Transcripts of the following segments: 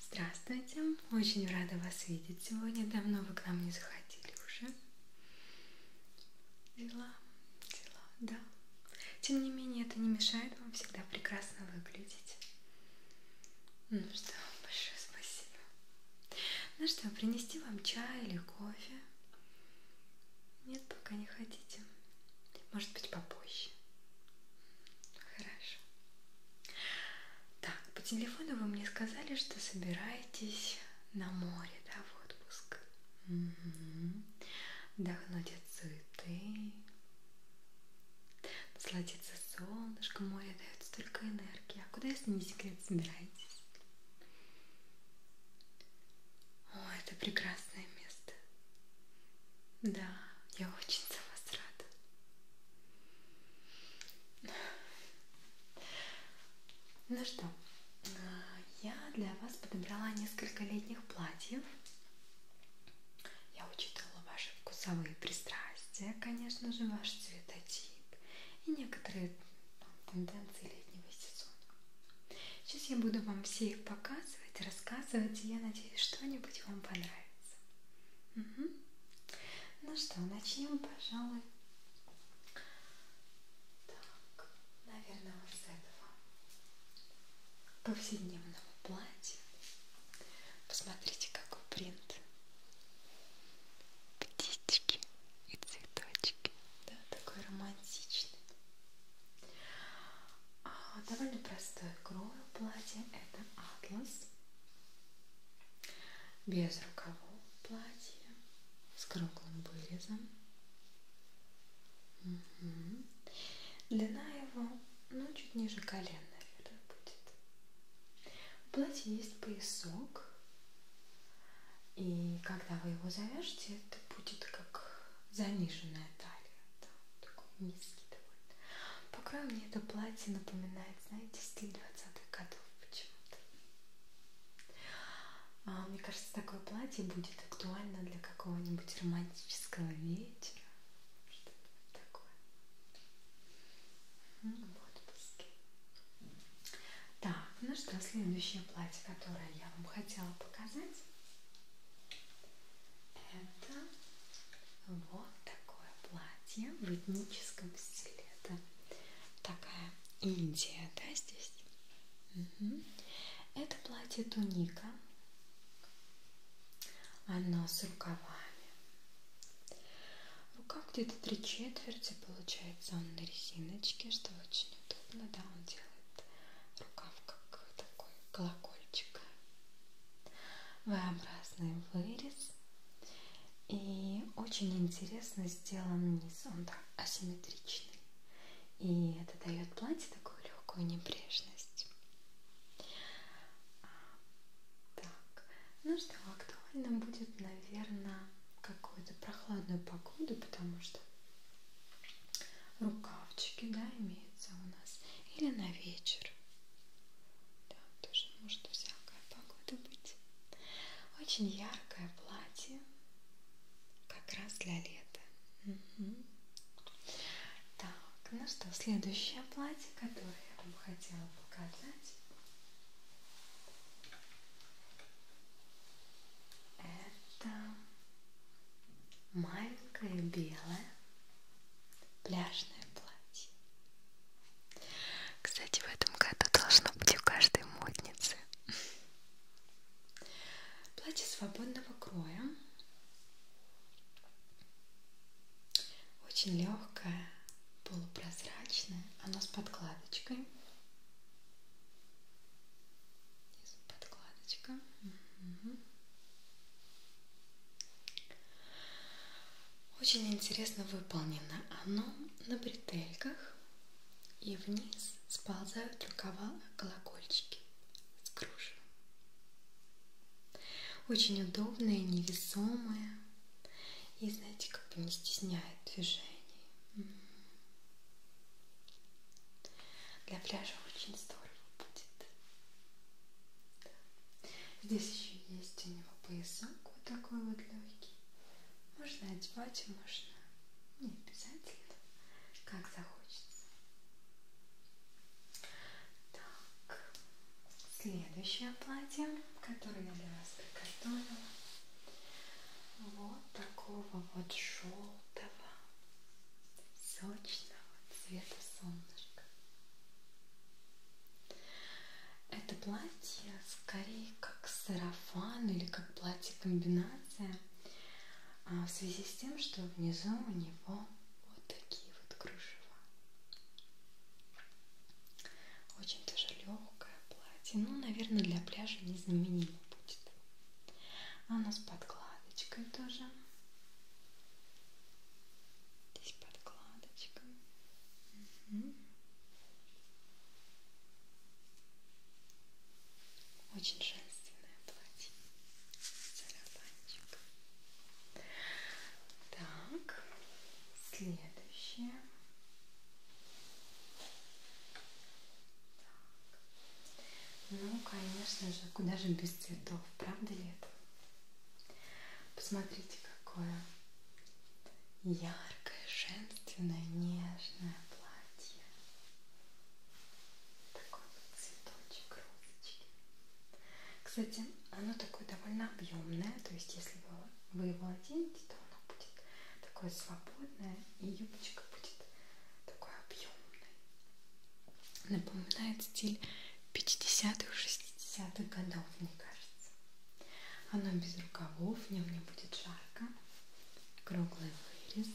Здравствуйте! Очень рада вас видеть сегодня. Давно вы к нам не заходили уже. Дела, дела, да. Тем не менее, это не мешает вам всегда прекрасно выглядеть. Ну что, большое спасибо. Ну что, принести вам чай или кофе? Нет, пока не хотите. Может быть, попозже. Хорошо. Так, по телефону вы мне сказали, что собираетесь на море, да, в отпуск. Угу. Отдохнуть от суеты. Насладиться солнышком, море дает столько энергии. А куда, если не секрет, собираетесь? О, это прекрасное место. Да, я очень за вас рада. Ну что, э, я для вас подобрала несколько летних платьев. Я учитывала ваши вкусовые пристрастия, конечно же, ваш цветотип и некоторые ну, тенденции летнего сезона. Сейчас я буду вам все их показывать, рассказывать, и я надеюсь, что-нибудь вам понравится. Угу. Ну что, начнем, пожалуй. Так, наверное, вот с этого повседневного платья. Посмотрите, какой принт. Птички и цветочки. Да, такой романтичный. А, довольно простой крою платье. Это атлас. Без рукавов платье. С круглым вырезом. Угу. Длина его, ну, чуть ниже колен, наверное, будет. В платье есть поясок. И когда вы его завяжете, это будет как заниженная талия да, такой низкий довольно. По краю мне это платье напоминает, знаете, стиль 20-х годов почему-то. А, мне кажется, такое платье будет актуально для какого-нибудь романтического вечера. Что-нибудь такое. В отпуске. Так, ну что, следующее платье, которое я вам хотела показать. Это вот такое платье в этническом стиле. Это такая Индия, да, здесь? Угу. Это платье туника. Оно с рукавами. Рукав где-то три четверти, получается, он на резиночке, что очень удобно, да, он делает рукав как такой колокольчик. V-образный вырез. И очень интересно сделан низ, он так асимметричный. И это дает платье такую легкую небрежность. Так, ну что, актуально будет, наверное, какую-то прохладную погоду, потому что рукавчики, да, имеются у нас, или на вечер. Да, тоже может всякая погода быть. Очень яркое платье, как раз для лета. Угу. Так, ну что, следующее платье, которое я вам хотела показать. Это маленькое белое пляжное платье. Кстати, в этом году должно быть у каждой модницы. Платье свободного кроя. Очень легкое, полупрозрачное. Оно с подкладочкой. Здесь подкладочка. Угу. Очень интересно выполнено оно на бретельках и вниз сползают рукава колокольчики с кружевом. Очень удобное, невесомое и, знаете, как бы не стесняет движений. Для пляжа очень здорово будет. Да. Здесь еще есть у него поясок вот такой вот легкий. Можно одевать, можно не обязательно, как захочется. Так, следующее платье, которое я для вас приготовила. Вот такого вот желтого сочного цвета солнышка. Это платье скорее как сарафан или как платье-комбинация а, в связи с тем, что внизу у него вот такие вот кружева. Очень тоже легкое платье. Ну, наверное, для пляжа не знаменито будет. Она а с подкладочкой тоже. Здесь подкладочка. Угу. Очень женственное платье. Сарафанчик. Так, следующее. Так. Ну, конечно же, куда же без цветов, правда ли это? Посмотрите, какое яркое, женственное, нежное платье. Такой вот цветочек розочки. Кстати, оно такое довольно объемное, то есть если вы его оденете, то оно будет такое свободное, и юбочка будет такой объемной напоминает стиль 50-х, 60-х годов, мне кажется. Оно без рукавов, в нем не будет жарко. Круглый вырез.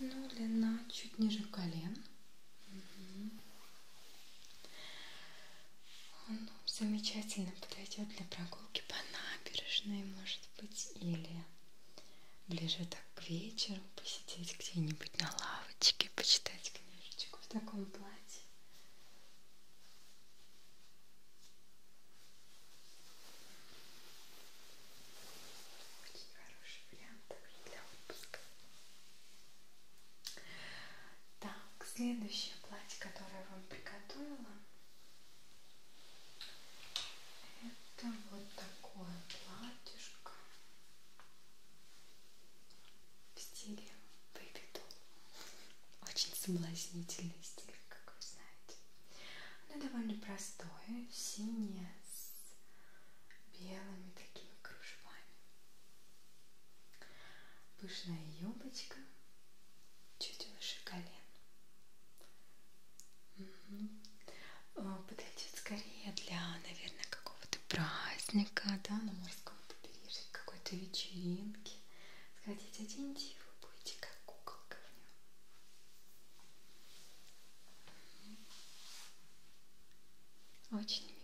Ну, длина чуть ниже колен. Угу. Он замечательно подойдет для прогулки по набережной, может быть, или ближе так к вечеру посидеть где-нибудь на лавочке, почитать книжечку в таком платье. Очень хороший вариант также для отпуска. Так, следующее платье, которое я вам приготовила, это вот такое платьишко в стиле Baby Doll. Очень соблазнительный стиль, как вы знаете. Оно довольно простое, синее, с белыми такими кружевами. Пышная юбочка чуть выше колен. Угу. А, Подойдет скорее для, наверное, какого-то праздника, да, на морском побережье, какой-то вечеринки. Сходите, оденьте и вы будете как куколка в нем. Очень мило.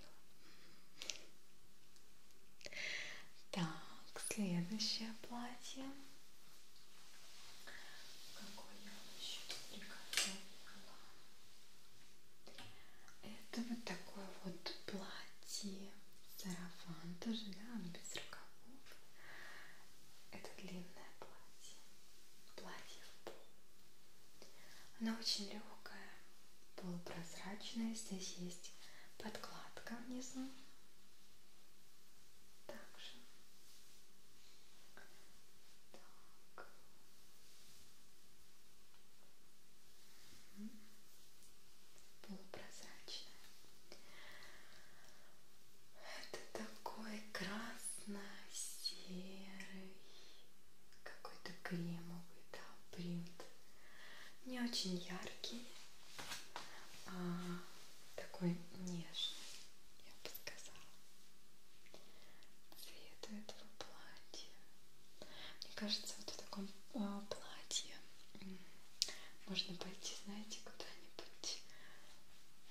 Так, следующее платье. Какое я еще приготовила? Это вот такое вот платье. Сарафан тоже, да, без рукавов. Это длинное платье. Платье в пол. Оно очень легкое, полупрозрачное. Здесь есть подкладка внизу также так. полупрозрачная это такой красно-серый какой-то кремовый да, принт не очень яркий, а такой нежный, я бы сказала, цвет этого платья. Мне кажется, вот в таком а, платье можно пойти, знаете, куда-нибудь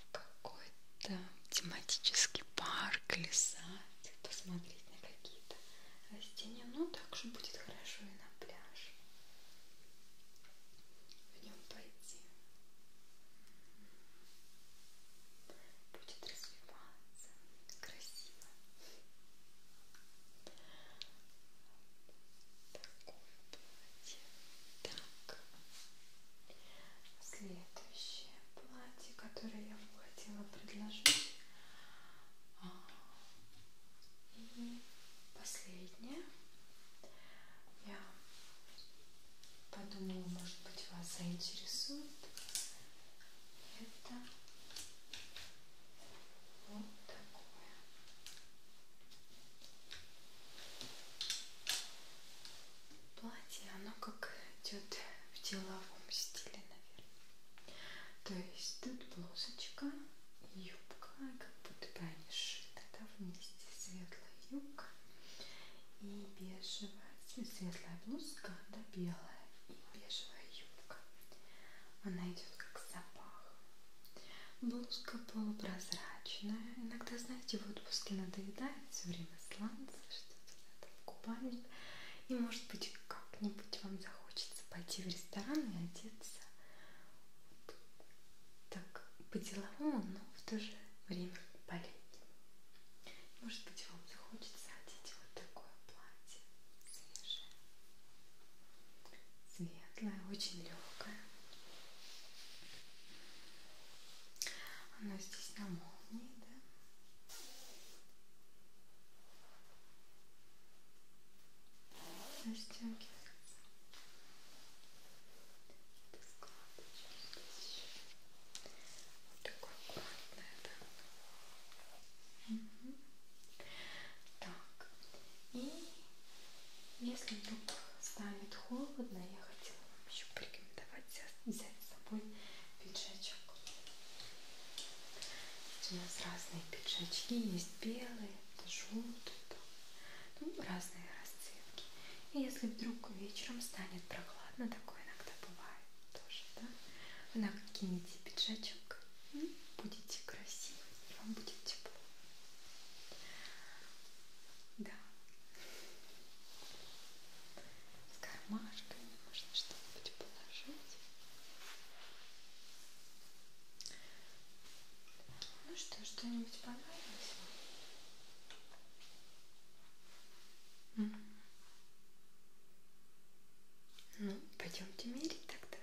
в какой-то тематический парк или сад, посмотреть на какие-то растения. Ну, так же будет хорошо и на пляже в нем пойти. Будет развиваться красиво. Такое платье. Так. Следующее платье, которое я вам хотела предложить. И последнее. Я подумала, может быть, вас заинтересует. Это вот такое. Платье, оно как идет в деловом стиле, наверное. То есть тут блузочка юбка, как будто бы они шиты, да, вместе светлая юбка и бежевая, ну, светлая блузка, да, белая и бежевая юбка. Она идет как запах. Блузка полупрозрачная. Иногда, знаете, в отпуске надоедает все время сланцы, что-то да, там, купальник. И может быть как-нибудь вам захочется пойти в ресторан и одеться вот так по-деловому, но в то же время по-летнему. Может быть вам захочется одеть вот такое платье свежее, светлое, очень легкое. Оно здесь на молнии, да? растягивается это складочки здесь еще вот такое аккуратное да? угу. так и если вдруг станет холодно я хотела вам еще порекомендовать взять с собой пиджачок у нас разные пиджачки, есть белые, желтые, ну, разные расцветки. И если вдруг вечером станет прохладно, такое иногда бывает тоже, да? Вы накинете пиджачок, ну, будете красивы, вам будет тепло. Да. С кармашками можно что-нибудь положить. Ну что, что-нибудь понравилось вам? Mm -hmm. Ну, пойдемте мерить тогда.